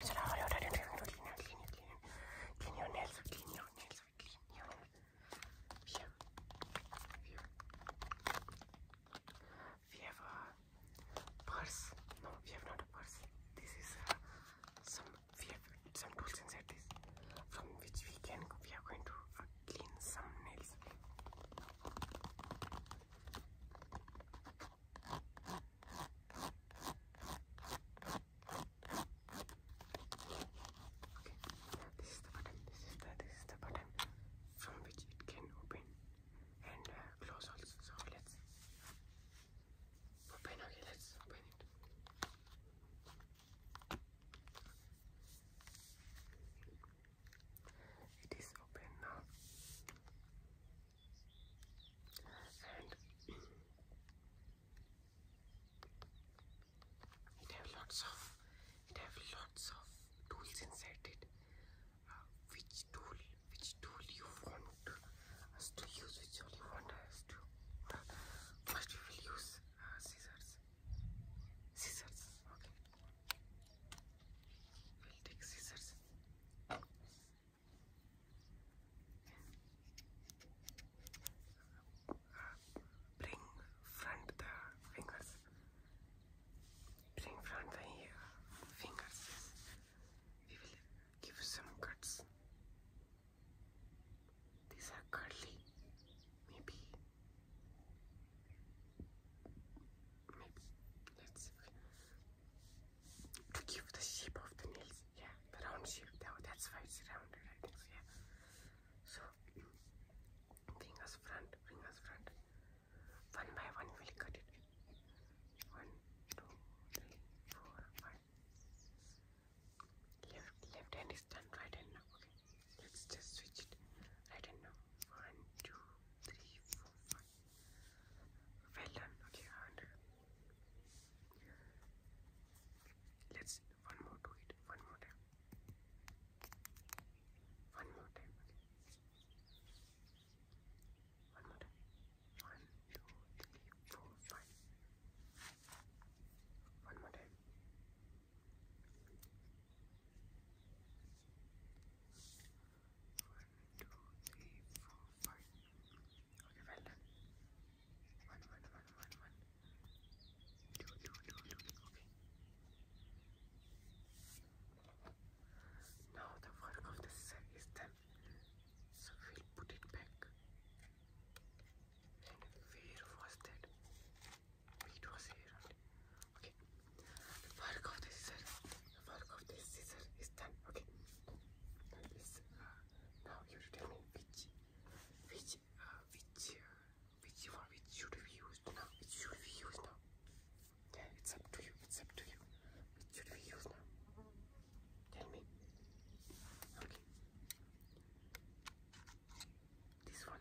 So now we have a purse no we have not a purse this is some we have some tools inside this from which we can we are going to uh, clean some nails this is the button. This is the this from which it can open and close also. So let's open. Okay, let's open it. It is open now and it have lots of it have lots of tools inside it uh, which tool which tool you want us to use which tool you want us to uh, we will use uh, scissors scissors okay we'll take scissors Bring front the fingers. Bring front the fingers. We will give some cuts. These are curly. Maybe. Maybe. Let's. Okay to give the shape of the nails. Yeah, round shape. That's why it's rounded, yeah. So, fingers front, fingers front. One by one, we'll cut it. One, two, three, four, five. Left, left hand is done. Right hand Okay. Let's just switch it. Right hand now. One, two, three, four, five. Well done. Okay, 100. Let's one more do it. One more time. One more time. One more time. One, two, three, four, five. One more time. One, two, three, four, five. Okay, well done. One, one, one, one, one. Two, two, two, two. Okay. Now the work of the cell is done. So we'll put it back. And where was that? It was here. Okay. The work of the cell the work of this scissor is done. Okay. Uh, now, you tell me which, which, uh, which, uh, which one which should be used now? Which should be used now? Yeah, it's up to you. It's up to you. Which should we use now? Tell me. Okay. This one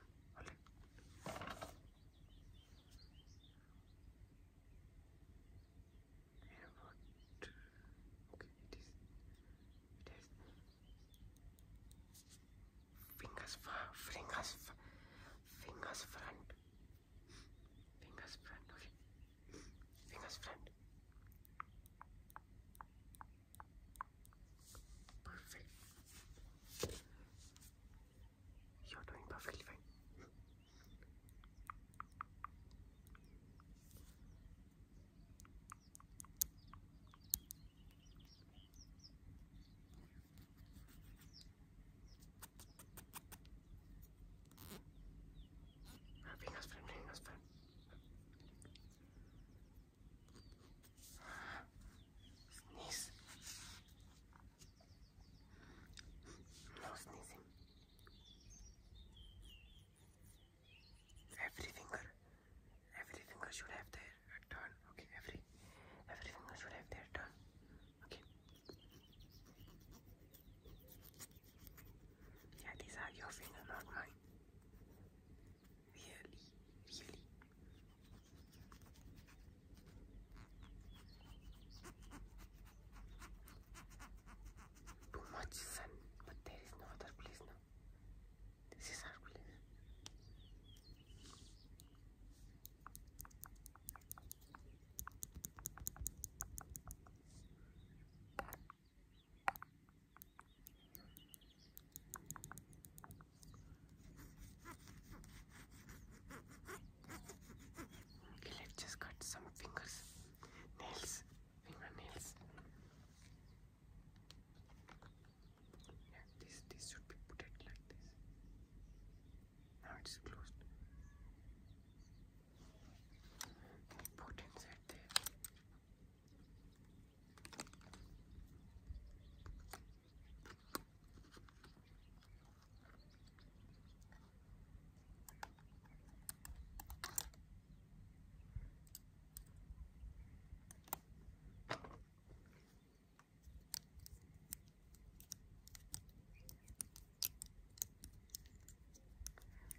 what? fingers fingers, fingers front, fingers front. Okay, fingers front. Perfect. You're doing perfectly fine. That's fine, that's fine. Sneeze. No sneezing. Every finger, every finger should have their turn. Okay, every, every finger should have their turn. Okay. Yeah, these are your fingers, not mine. Really, really too much sun, but there is no other place now. This is our place. Okay, let's just cut some fingers nails, fingernails. Yeah, this this should be put like this. Now it's closed. Put inside there.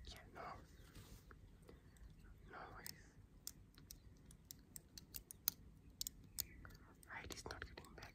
Yeah, no. No worries. Right, not getting back.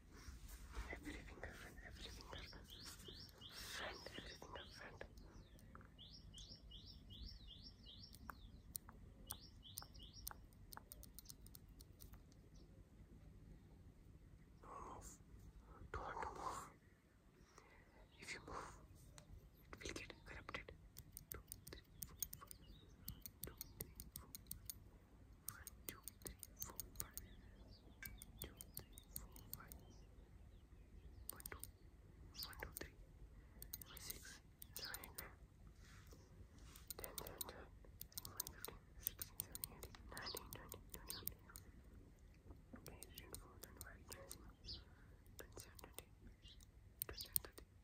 Every finger friend, every friend, every friend. Don't move. Don't move. If you move, it will get corrupted. One, two, three, four, five. Two, three, four, five. One, two. One, two, three. Five, six, seven, eight, nine. Ten,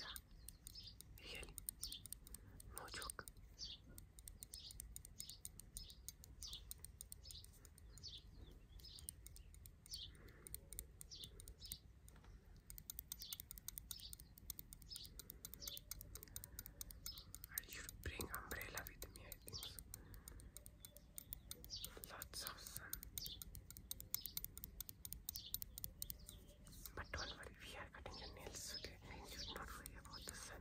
Ya. Hel. No çok. I should bring umbrella with me, I think Lots of sun. But do we are cutting your nails, You should not worry about the sun.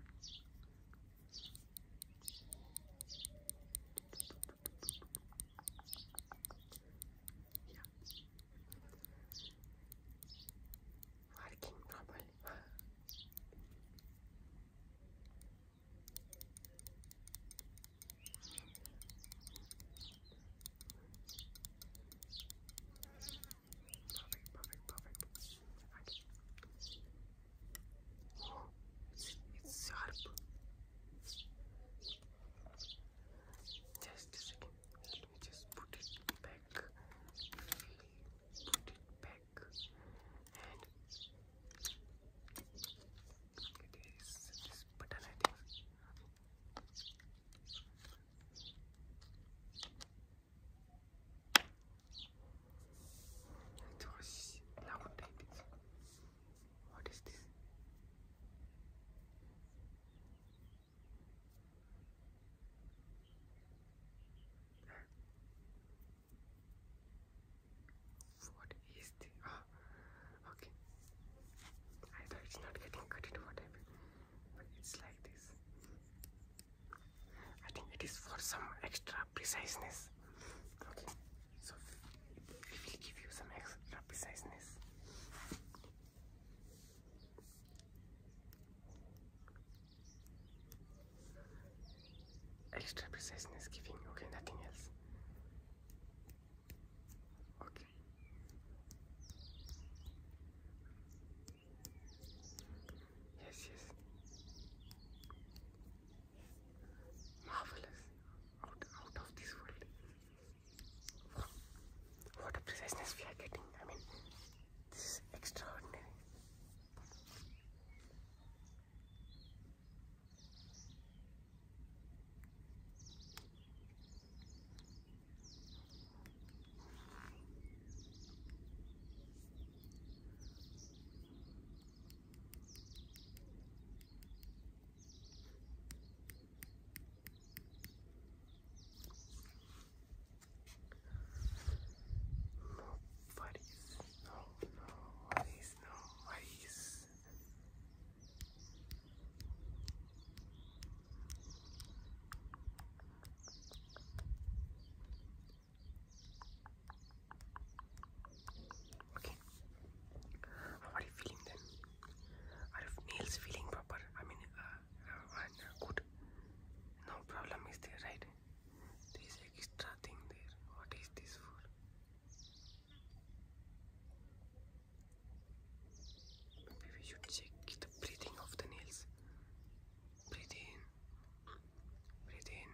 Working normal. Perfect, perfect, perfect. Right. Oh, it's, it's sharp. Just a second. Let me just put it back. Put it back. It is this button, It was loud, What is this? What is this? Ah, Okay. I it's not getting cut whatever. But it's like this. I think it is for some extra preciseness. Okay. So it will give you some extra preciseness. Extra preciseness giving, okay, nothing else. Okay. Yes, yes. Marvelous. Out, out of this world. What a preciseness we are getting. I mean, this is extraordinary. No, buddies. No, no, buddies. No, buddies. Okay. How are you feeling then? Are your nails feeling proper? I mean, uh, uh, uh, good. No problem is there, right? This extra thing there. What is this for? Maybe we should check the breathing of the nails. Breathe in, breathe in,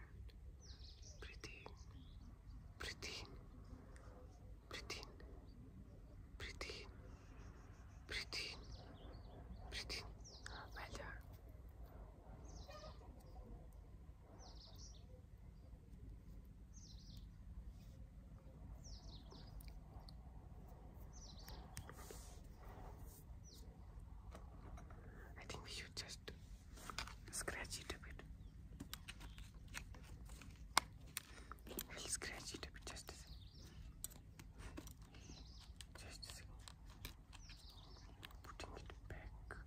breathe in, breathe in, breathe in, breathe in, breathe in, breathe in. Well done. I think we should just scratch it a bit. We'll scratch it a bit just a second. Just a second. Putting it back.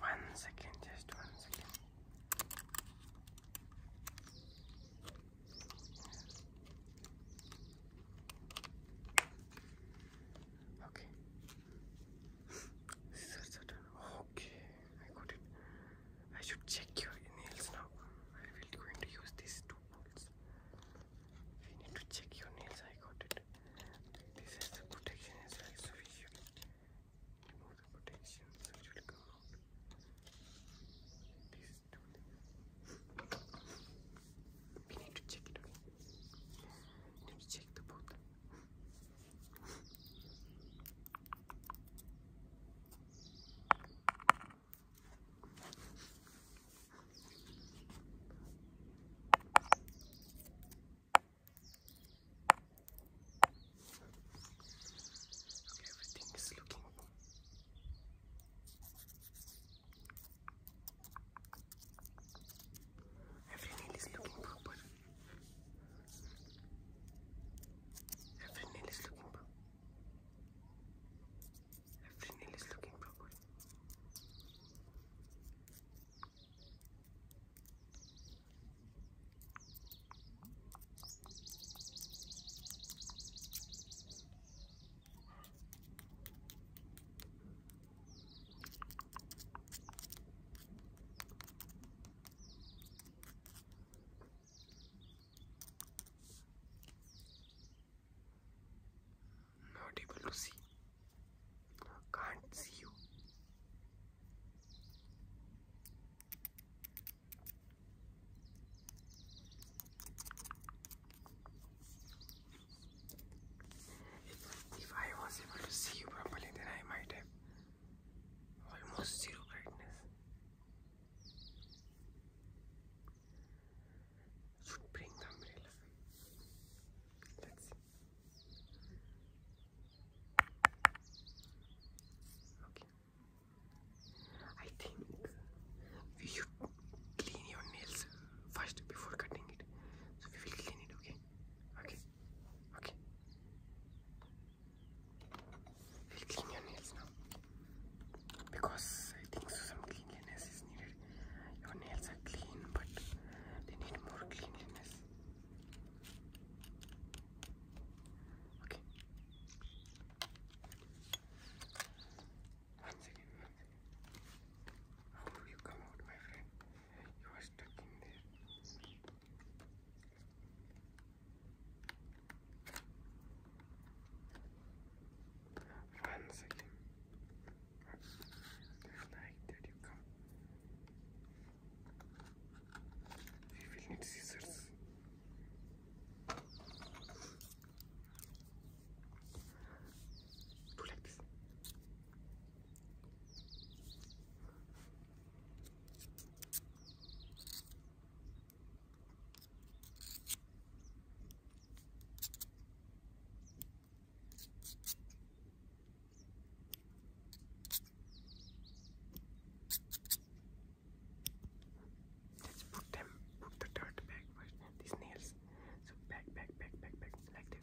One second, just one second. Okay. Scissors are done. Okay, I got it. I should check your nails now. I will going to use these two tools. We need to check your nails. I got it. This has protection as well, so remove the protection, We need to check it. Let me check the both. Okay, everything is looking Every nail is looking proper. Every nail is looking proper. Every nail is looking proper. Not to see. Can't see you. If I was able to see you properly, then I might have almost zero brightness. Should bring the umbrella. Let's see. Okay. I think we should clean your nails first before cutting it. So we will clean it, okay? Okay. Okay clean your nails now because I think some cleanliness is needed. Your nails are clean, but they need more cleanliness. Okay. one second. How do you come out, my friend? You are stuck in there. Once like that you come. We will need scissors. Do Let's put them, put the dirt back first, these nails. So back, back, back, back, back, like this.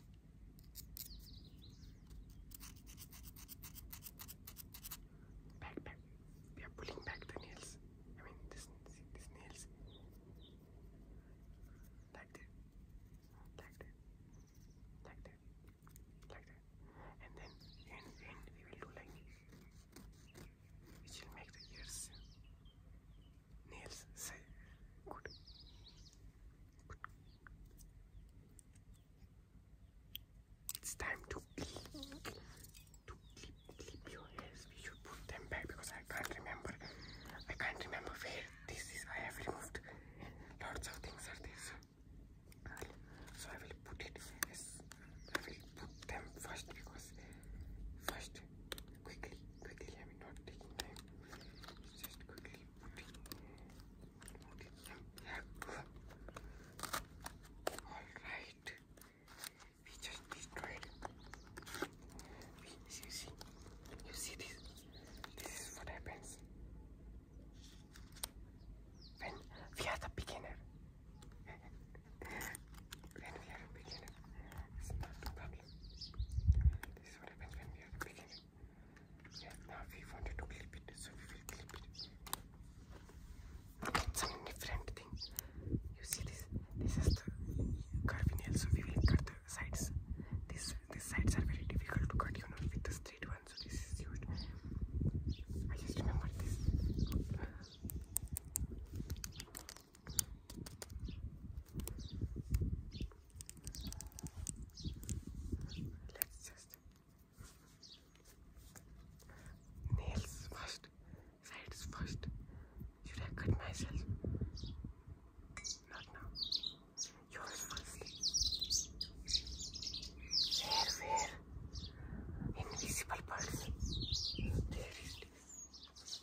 Back, back. They are pulling back the nails. I mean, this, these nails. Like that. Like that. Like that. Like that. And then in the we will do like this. Which will make the ears nails say good. It's time to clip, to clip, clip your hairs. We should put them back because I can't remember. I can't remember where this is. I have removed lots of things are there? So I will put it. Yes, I will put them first because first quickly, quickly. i mean, not taking time. Just quickly putting, putting them All right. We just destroyed. We, you see, you see this. This is what happens when we are the beginner. when we are a beginner, it's not a problem. This we are now we wanted to clip it, so we will clip it. some different thing. You see this? This is the curvy nail, so we will cut the sides. This these sides are very difficult to cut, you know, with the straight one, so this is used. I just remember this. Let's just nails first, sides first. Should I cut myself? Not now. Yours first. Where, where? Invisible person. There it is.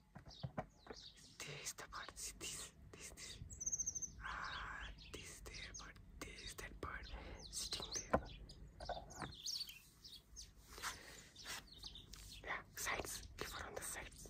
There is the bird. See this, this, this. Ah, this there bird. This that bird sitting there. Yeah, sides. Give her on the sides.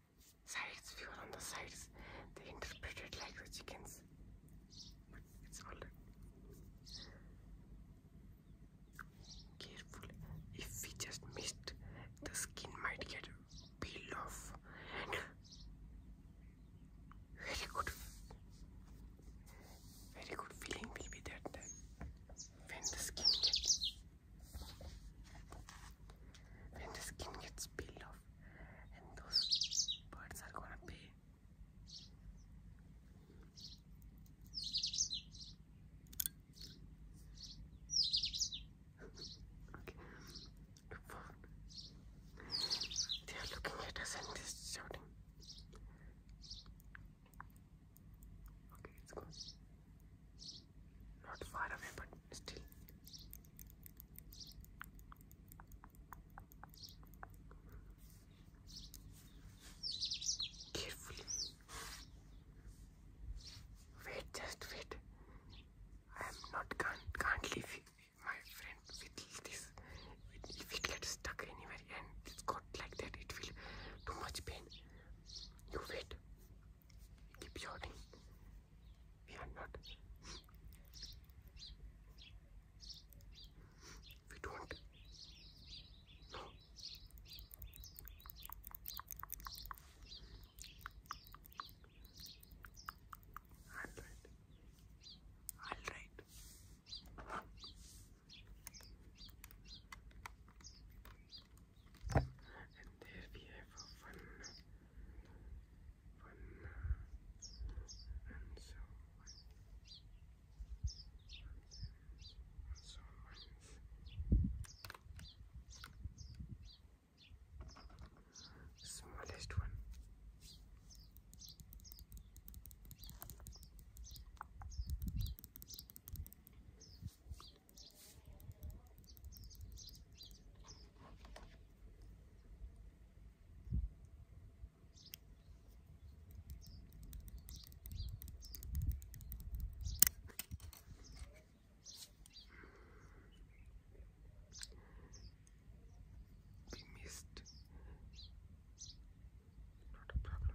sides, fewer on the sides. They interpreted like the chickens. it's all right. Careful. If we just missed, the skin might get peeled off. Very good. Very good feeling will be that then when the skin gets when the skin gets peeled off and those birds are gonna pay okay the phone they are looking at us and they're shouting okay it's not far away, but still. Carefully. Wait, just wait. I am not can't can't leave my friend with this. If it gets stuck anywhere and it's got like that, it will too much pain. You wait. Keep shouting we are not we don't all right all right and there we have one one and and so on smallest one not a problem.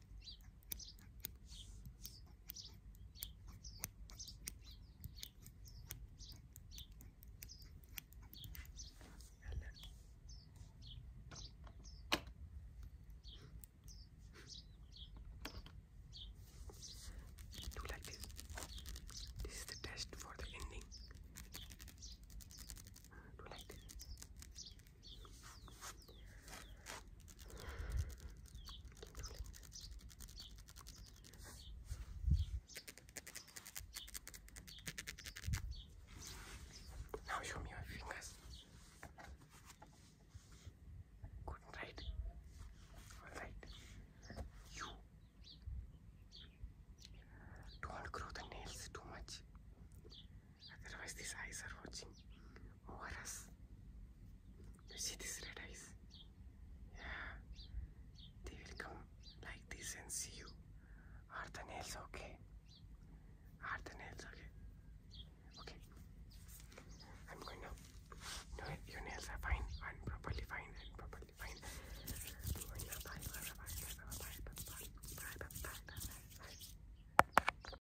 Do like this. This is the test for the ending. Do like this. Now show me your fingers. Good, right? Alright. You don't grow the nails too much. Otherwise, these eyes are watching over us. You see these red eyes? Yeah. They will come like this and see you. Are the nails okay? Are the nails okay? Okay. I'm going now. No, your nails are fine and properly fine and properly fine. I'm going now. Bye, bye, bye, bye, bye, bye, bye, bye, bye, bye, bye, bye, bye.